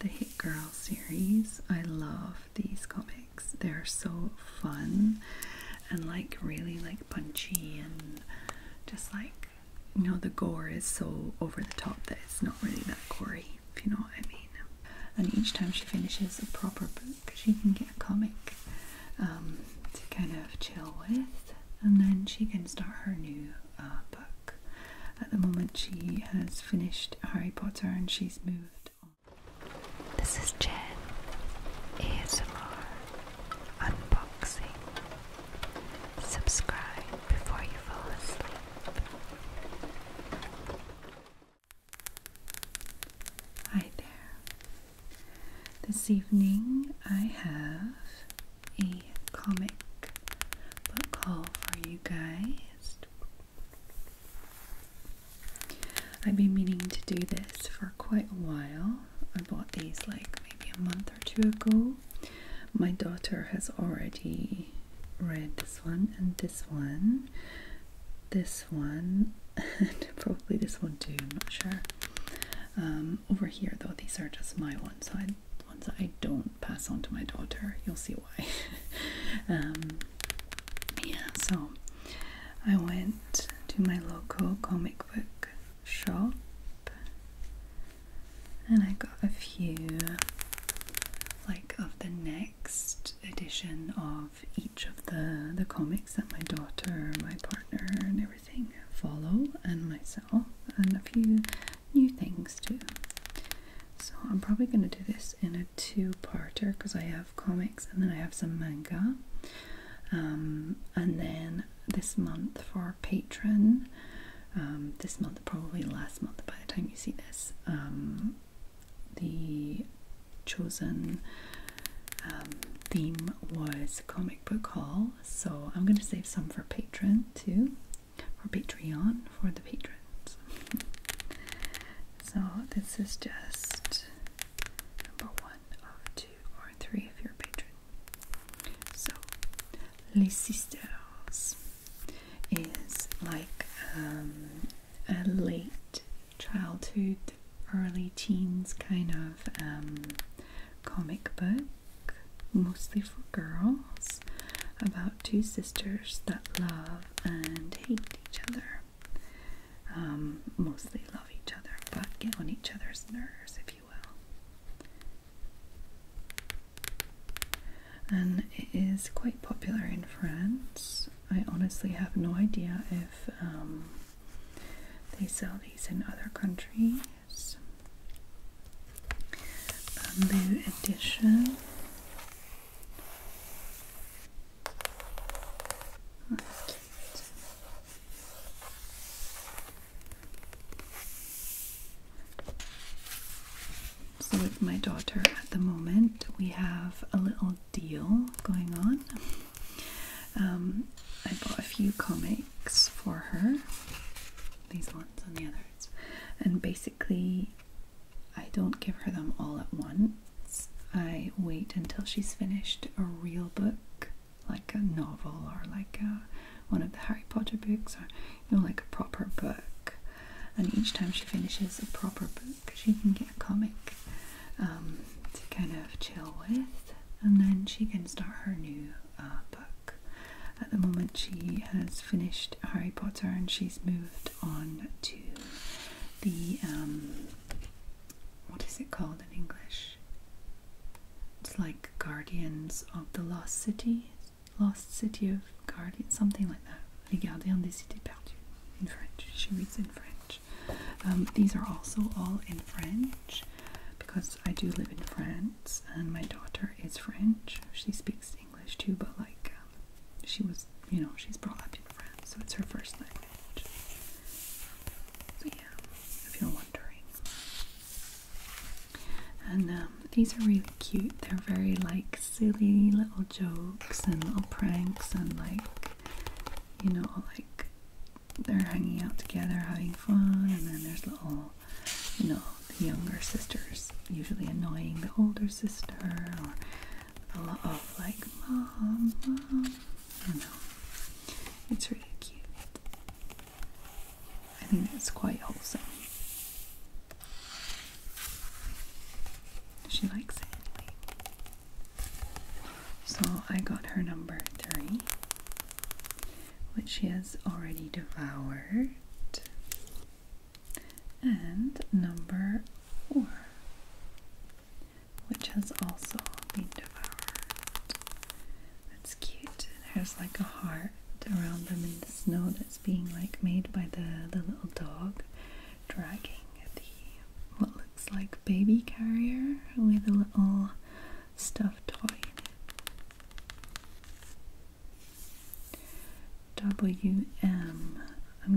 The Hit Girl series. I love these comics. They're so fun and like really like punchy and just like you know the gore is so over the top that it's not really that gory, if you know what I mean. And each time she finishes a proper book, she can get a comic um, to kind of chill with, and then she can start her new uh, book. At the moment, she has finished Harry Potter and she's moved on. This is Jen ASMR Unboxing. Subscribe before you fall asleep. Hi there. This evening I have a comic book haul for you guys. I've been meaning to do this for quite a while. I bought these like maybe a month or two ago. My daughter has already read this one and this one, this one, probably this one too, I'm not sure. Um, over here though, these are just my ones, so the ones I don't pass on to my daughter. You'll see why. Um, yeah, so I went to my local comic book shop and I got a few like of the next edition of each of the the comics that my daughter, my partner and everything follow and myself and a few new things too. So I'm probably going to do this in a two-parter because I have comics and then I have some manga. Um, and then this month for Patreon, um, this month, probably last month by the time you see this, um, the chosen um, theme was comic book haul. So I'm going to save some for patron too for Patreon for the patrons. so this is just number one of two or three if you're a patron. So Les Sisters is like um, a late childhood, early teens kind of um, comic book, mostly for girls about two sisters that love and hate each other. Um, mostly love each other, but get on each other's nerves, if you will. And it is quite popular in France. I honestly have no idea if um, they sell these in other countries. Bamboo Edition. That's cute. So, with my daughter at the moment, we have a little deal going on. Um, I bought a few comics for her, these ones and the others, and basically I don't give her them all at once. I wait until she's finished a real book, like a novel or like one of the Harry Potter books, or you know, like a proper book. And each time she finishes a proper book, she can get a comic um, to kind of chill with, and then she can start her new uh, book. At the moment, she has finished Harry Potter and she's moved on to the um, what is it called in English? It's like Guardians of the Lost City, Lost City of Guardians, something like that. Les Gardiens des Cités Perdues in French. She reads in French. Um, these are also all in French because I do live in France and my daughter is French. She speaks English too, but like um, she was, you know, she's brought up in France, so it's her first language. So yeah, if you're wondering. And um, these are really cute. They're very like silly little jokes and little pranks and like, you know, like they're hanging out together having fun and then there's little you know, the younger sisters usually annoying the older sister, or a lot of like, mom, mom. know. It's really cute. I think it's quite wholesome. She likes it. So I got her number three, which she has already devoured and number four, which has also been devoured. That's cute. There's like a heart around them in the snow that's being like made by the, the little dog dragging the what looks like baby carrier with a little stuffed toy in it. W am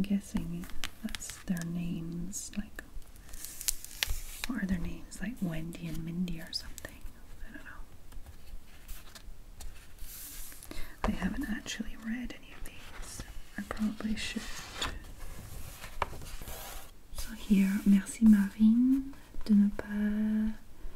guessing that's their names, like, are their names? Like Wendy and Mindy or something. I don't know. I haven't actually read any of these. I probably should. So here, merci Marine de ne pas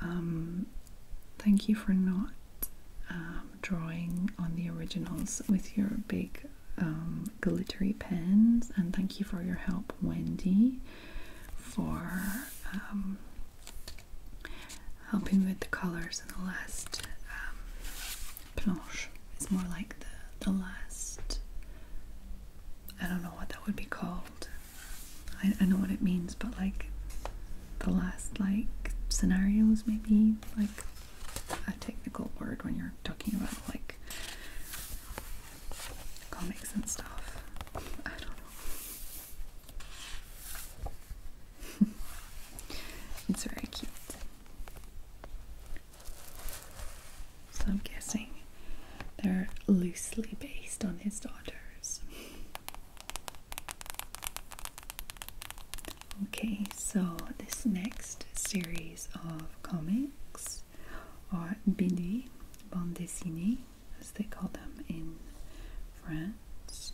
Um, thank you for not um, drawing on the originals with your big um, glittery pens, and thank you for your help, Wendy, for helping with the colors in the last um, planche. It's more like the the last. I don't know what that would be called. I, I know what it means, but like the last like scenarios maybe like a technical word when you're talking about like comics and stuff. I don't know. it's very cute. So I'm guessing they're loosely based on his daughters. Okay, so this next series of comics are BD, bande dessinée, as they call them in France.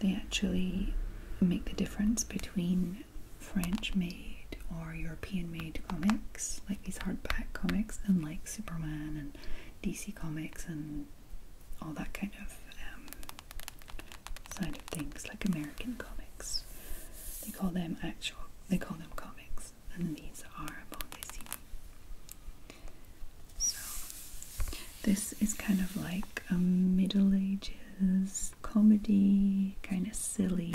They actually make the difference between French made made or European made comics, like these hardback comics, and like Superman and DC Comics and all that kind of um, side of things, like American comics. They call them actual, they call them comics, and these are Bondesini. So, this is kind of like a Middle Ages comedy, kind of silly.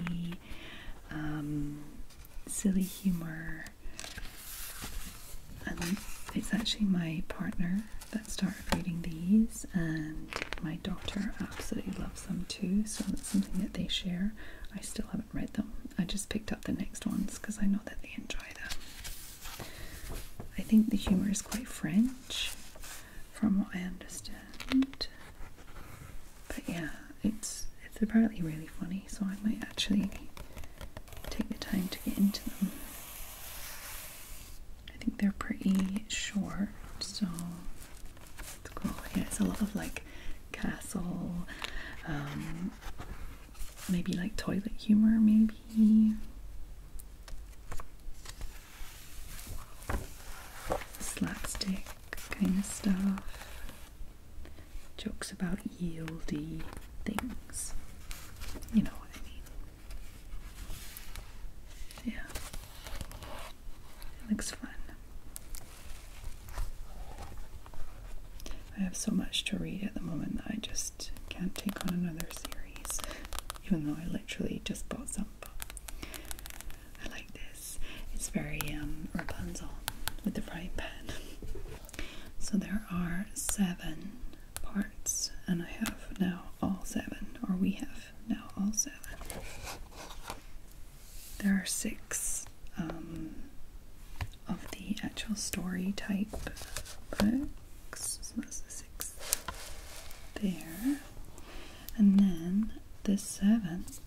Um, silly humor. Um, it's actually my partner that started reading these, and my daughter absolutely loves them too. So it's something that they share. I still haven't read them. I just picked up the next ones because I know that they enjoy them. I think the humor is quite French, from what I understand. But yeah, it's it's apparently really funny, so I might actually take the time to get into them. I think they're pretty short, so it's cool. Yeah, it's a lot of like castle, um, maybe like toilet humor, maybe. Slapstick kind of stuff jokes about yieldy things. You know what I mean. Yeah. looks fun. I have so much to read at the moment that I just can't take on another series, even though I literally just bought some. I like this. It's very um, Rapunzel with the frying pan. So there are seven parts, and I have now all seven, or we have now all seven. There are six um, of the actual story type books. So that's the sixth there. And then the seventh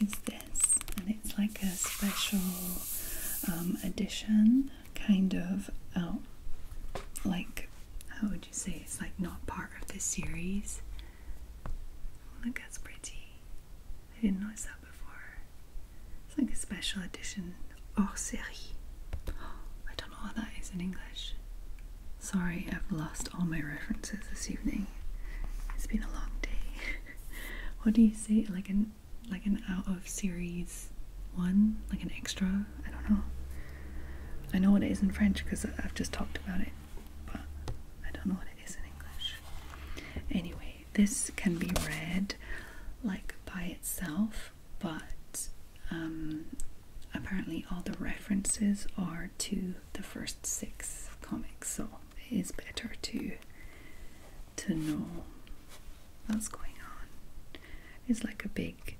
is this, and it's like a special edition um, kind of oh, like how would you say it's like not part of the series. Oh, look, that's pretty. I didn't notice that before. It's like a special edition hors série. I don't know what that is in English. Sorry, I've lost all my references this evening. It's been a long day. what do you say? Like an like an out of series one? Like an extra? I don't know. I know what it is in French because I've just talked about it, but I don't know what it is in English. Anyway, this can be read like by itself, but um, apparently all the references are to the first six comics, so it is better to to know what's going on. It's like a big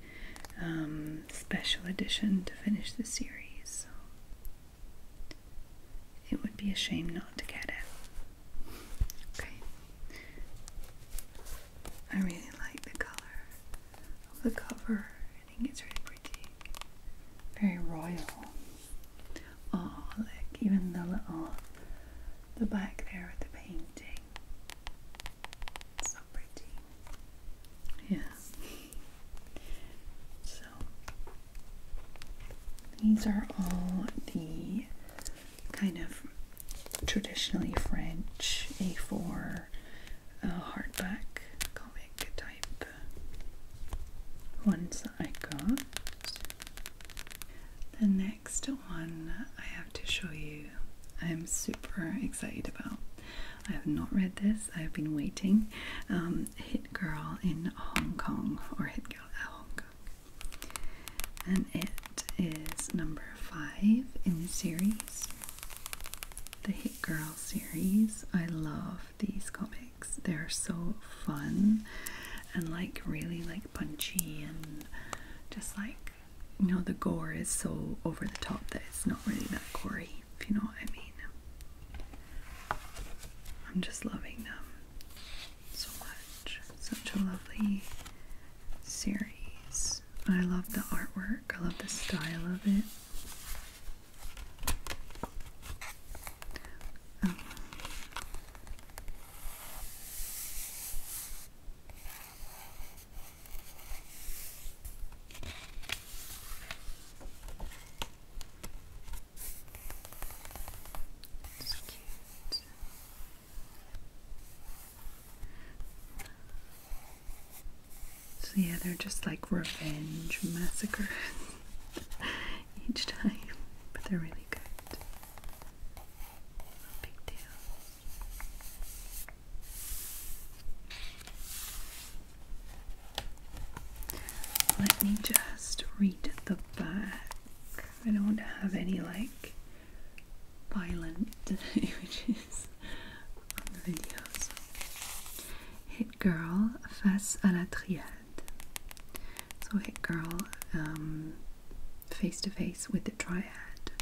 um, special edition to finish the series. it would be a shame not to get it. Okay. I really like the color of the cover. I think it's really pretty. Very royal. Oh, look, even the little, the back there with the painting. It's so pretty. Yeah. So, these are all the kind of traditionally French A4 uh, hardback comic type ones that I got. The next one I have to show you, I'm super excited about. I have not read this, I've been waiting. Um, Hit Girl in Hong Kong, or Hit Girl at Hong Kong. And it is number five in the series, the Hit Girl series. I love these comics. They're so fun and like really like punchy and just like you know the gore is so over the top that it's not really that gory, if you know what I mean. I'm just loving them so much. Such a lovely series. I love the artwork. I love the style of it. So yeah, they're just like revenge massacres. each time, but they're really good. No big deal. Let me just read the back. I don't want to have any like violent images on the videos. Girl face à la triade. So Girl face to face with the triad.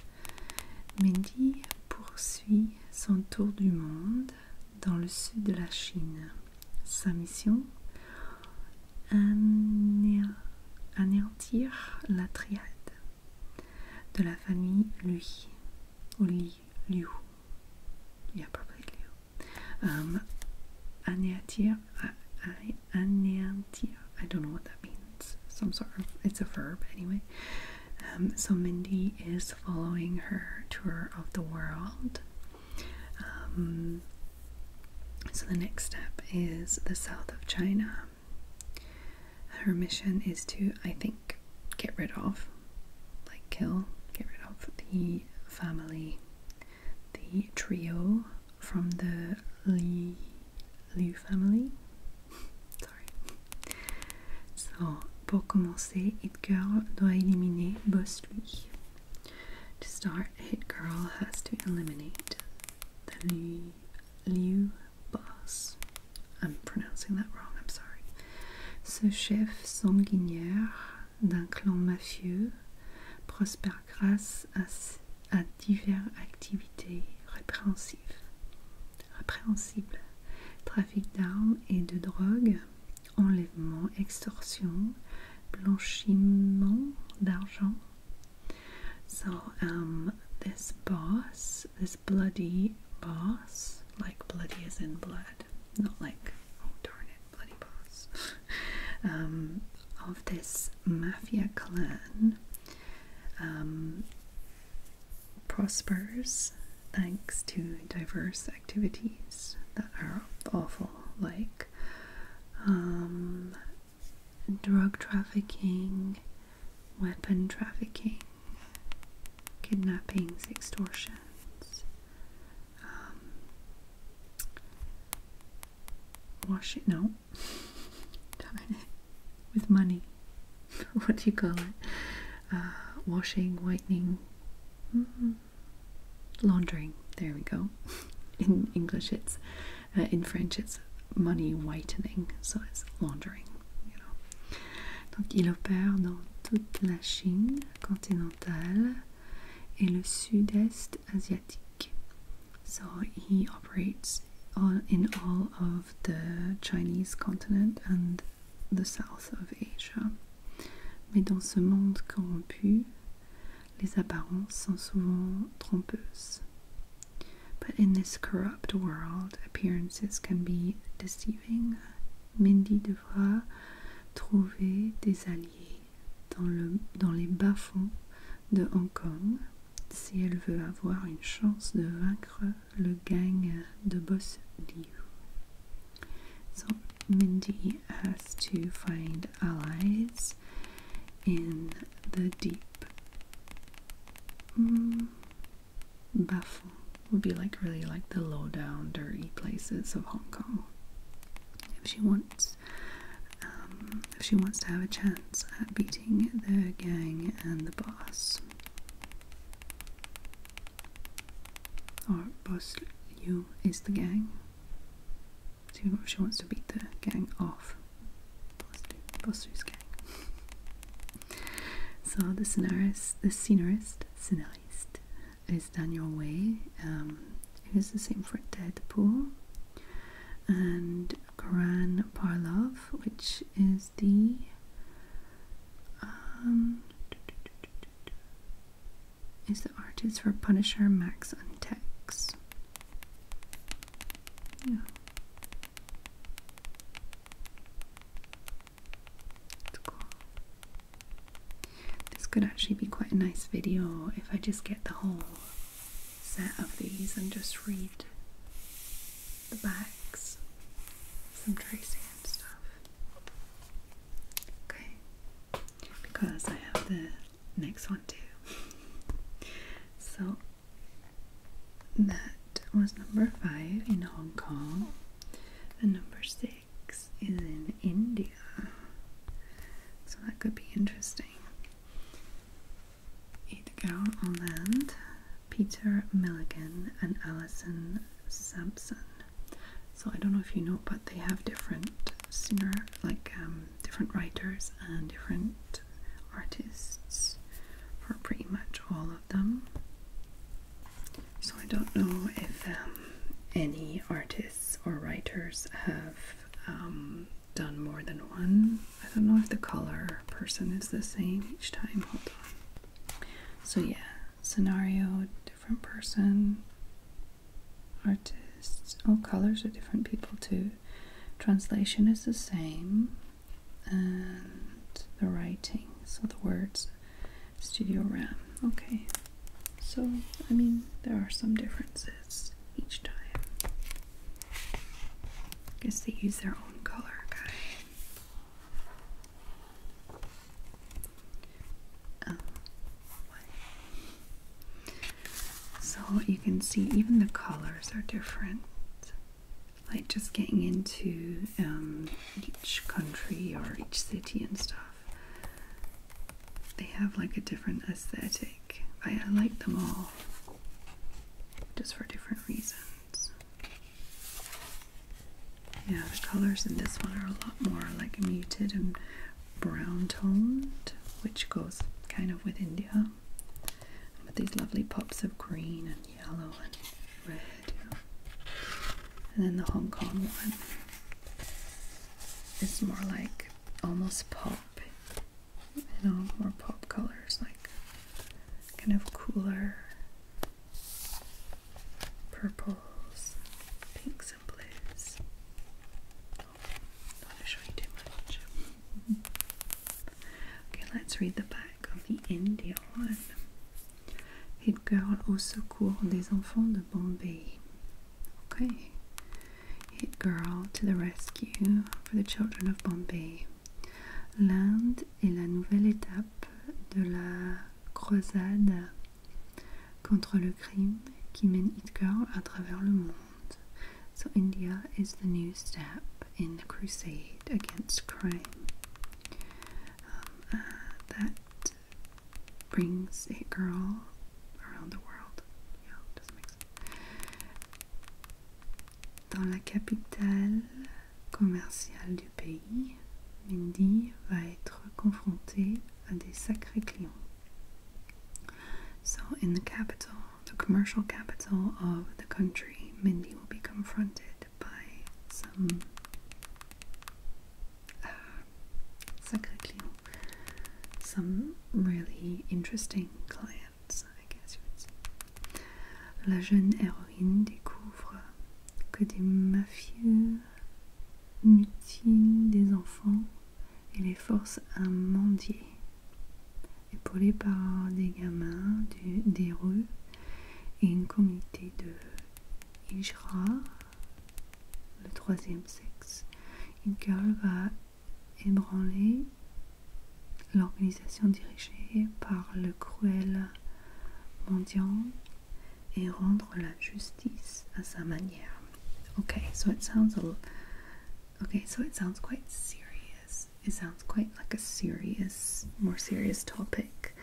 Mindy poursuit son tour du monde dans le sud de la Chine. Sa mission anéantir la triade de la famille Lui ou Li Liu. a probablement Liu. Um, Anyatia, I, don't know what that means. Some sort of, it's a verb anyway. Um, so Mindy is following her tour of the world. Um, so the next step is the south of China. Her mission is to, I think, get rid of like kill, get rid of the family, the trio from the Li Liu family. Sorry. So, pour commencer, Hit Girl doit éliminer Boss Lui. To start, Hit Girl has to eliminate the Liu, Liu boss. I'm pronouncing that wrong, I'm sorry. Ce chef sanguinaire d'un clan mafieux, prospère grâce à, à diverses activités répréhensibles. répréhensibles. Trafic d'armes et de drogue, enlèvement, extorsion, blanchiment d'argent. So, um, this boss, this bloody boss, like bloody as in blood, not like, oh darn it. bloody boss, um, of this mafia clan um, prospers thanks to diverse activities that are awful, like um, drug trafficking, weapon trafficking, kidnappings, extortions, um, wash it. No, with money. what do you call it? Uh, washing, whitening, mm-hmm. laundering. There we go. in English, it's uh, in French, it's money whitening, so it's laundering. You know. In the southeast Asian, asiatique. So he operates in all of the Chinese continent and the south of Asia. But in this corrupt world, appearances can be deceiving. Mindy devra trouver des alliés dans, les bas-fonds de Hong Kong si elle veut avoir une chance de vaincre le gang de Boss Liu. So Mindy has to find allies in the deep. Mm, bas-fonds would be like really like the low down dirty places of Hong Kong. if she wants. Um, if she wants to have a chance at beating the gang and the boss. Or boss you is the gang. So she wants to beat the gang off. Boss Yu's gang. so the scenarist, the scenarist, scenarist, is done way. Um, it is the same for Deadpool and Karan Parlov, which is the um, is the artist for Punisher, Max, and Tex. This could actually be quite a nice video if I just get the whole set of these and just read the backs, some tracing and stuff. Okay, because I have the next one too. So that was number five in Hong Kong, and number six is in India. So that could be interesting. Edgar Orland, Peter Milligan, and Alison Sampson. So I don't know if you know, but they have different singer, like um, different writers and different artists for pretty much all of them. So I don't know if um, any artist or writers have um, done more than one. I don't know if the color person is the same each time. Hold on. So, yeah, scenario, different person, artists, all oh, colors are different people too. Translation is the same, and the writing, so the words Studio RAM. Okay, so I mean, there are some differences each time. Guess they use their own color guy. So you can see even the colors are different. Like just getting into um, each country or each city and stuff. They have like a different aesthetic. I, like them all just for different reasons. Yeah, the colors in this one are a lot more like muted and brown toned, which goes kind of with India. But these lovely pops of green and yellow and red. And then the Hong Kong one. It's more like almost pop, you know, more pop colors, like kind of cooler purples, pinks, and blues. Oh, not to show you too much. okay, let's read the back of the India one. Hit girl, oh so court des enfants de Bombay. OK. Hit Girl to the Rescue for the Children of Bombay. L'Inde est la nouvelle étape de la croisade contre le crime qui mène Hit Girl à travers le monde. So India is the new step in the crusade against crime. Um, uh, brings a girl around the world. Dans la capitale commerciale du pays, Mindy va être confrontée à des sacrés clients. So, in the capital, the commercial capital of the country, Mindy will be confronted by some euh, Sacré some really interesting clients, La jeune héroïne découvre que des mafieux mutilent des enfants et les forcent à mendier. Épaulée par des gamins des rues et une comité de hijra, le troisième sexe. Une girl va ébranler l'organisation dirigée par le cruel mendiant et rendre la justice à sa manière. Okay, so it sounds okay, so it sounds quite serious. It sounds quite like a serious, more serious topic.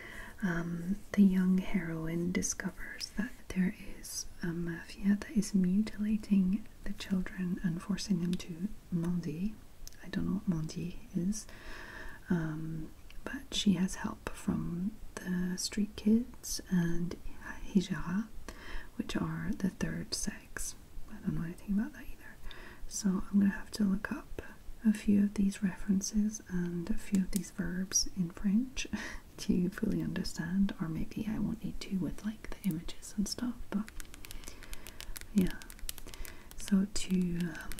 Um, the young heroine discovers that there is a mafia that is mutilating the children and forcing them to Mondi. I don't know what Mondi is, um, but she has help from the street kids and hijra, which are the third sex. I don't know anything about that either. So I'm gonna have to look up a few of these references and a few of these verbs in French. to fully understand, or maybe I won't need to with like the images and stuff, but yeah. So to um,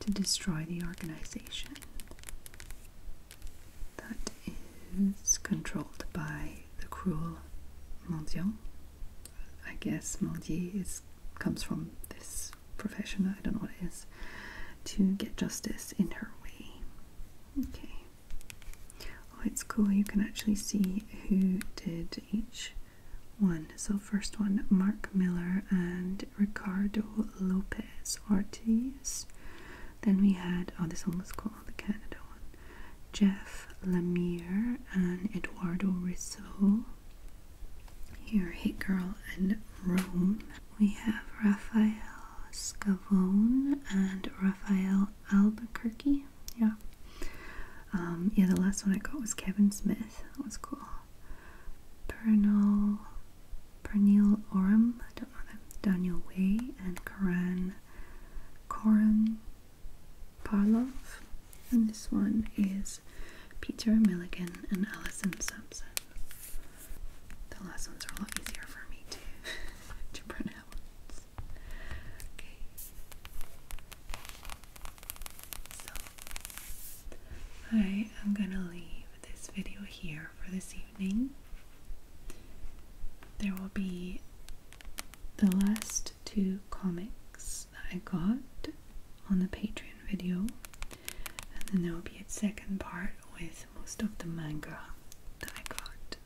to destroy the organization that is controlled by the cruel Mendiant. I guess Mendier is comes from this profession. I don't know what it is to get justice in her way. Okay. Oh, it's cool. You can actually see who did each one. So, first one Mark Miller and Ricardo Lopez Ortiz. Then we had, oh, this one was called the Canada one. Jeff Lemire and Eduardo Risso. Here, Hit Girl and Rome. We have Raphael Scavone and Raphael Albuquerque. Yeah. Um, yeah, the last one I got was Kevin Smith. That was cool. Pernal, Pernil Oram, I don't know them. Daniel Way and Coran Coran Parlov. And this one is Peter Milligan and Alison Sampson. The last ones are a lot easier for me to, to pronounce. Okay. So, I am going to leave this video here for this evening. There will be the last two comics that I got on the Patreon video and then there will be a second part with most of the manga that I got.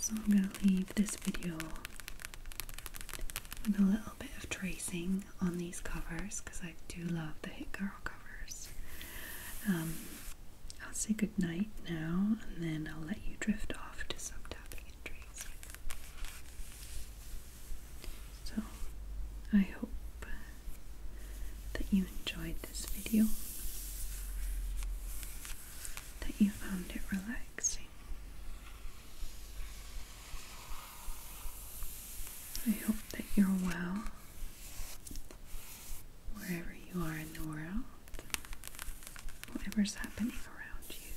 So I'm gonna leave this video with a little bit of tracing on these covers because I do love the Hit covers. Um, I'll say good night now and then I'll let you drift off to some tapping and tracing. So I hope that you enjoyed this video, that you found it relaxing. I hope that you're well wherever you are in the world, whatever's happening around you.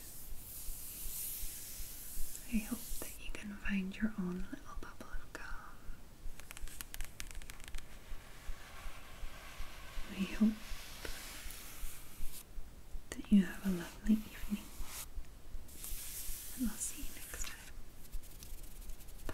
I hope that you can find your own little bubble of calm. I hope that you have a lovely evening, and I'll see you next time. Bye.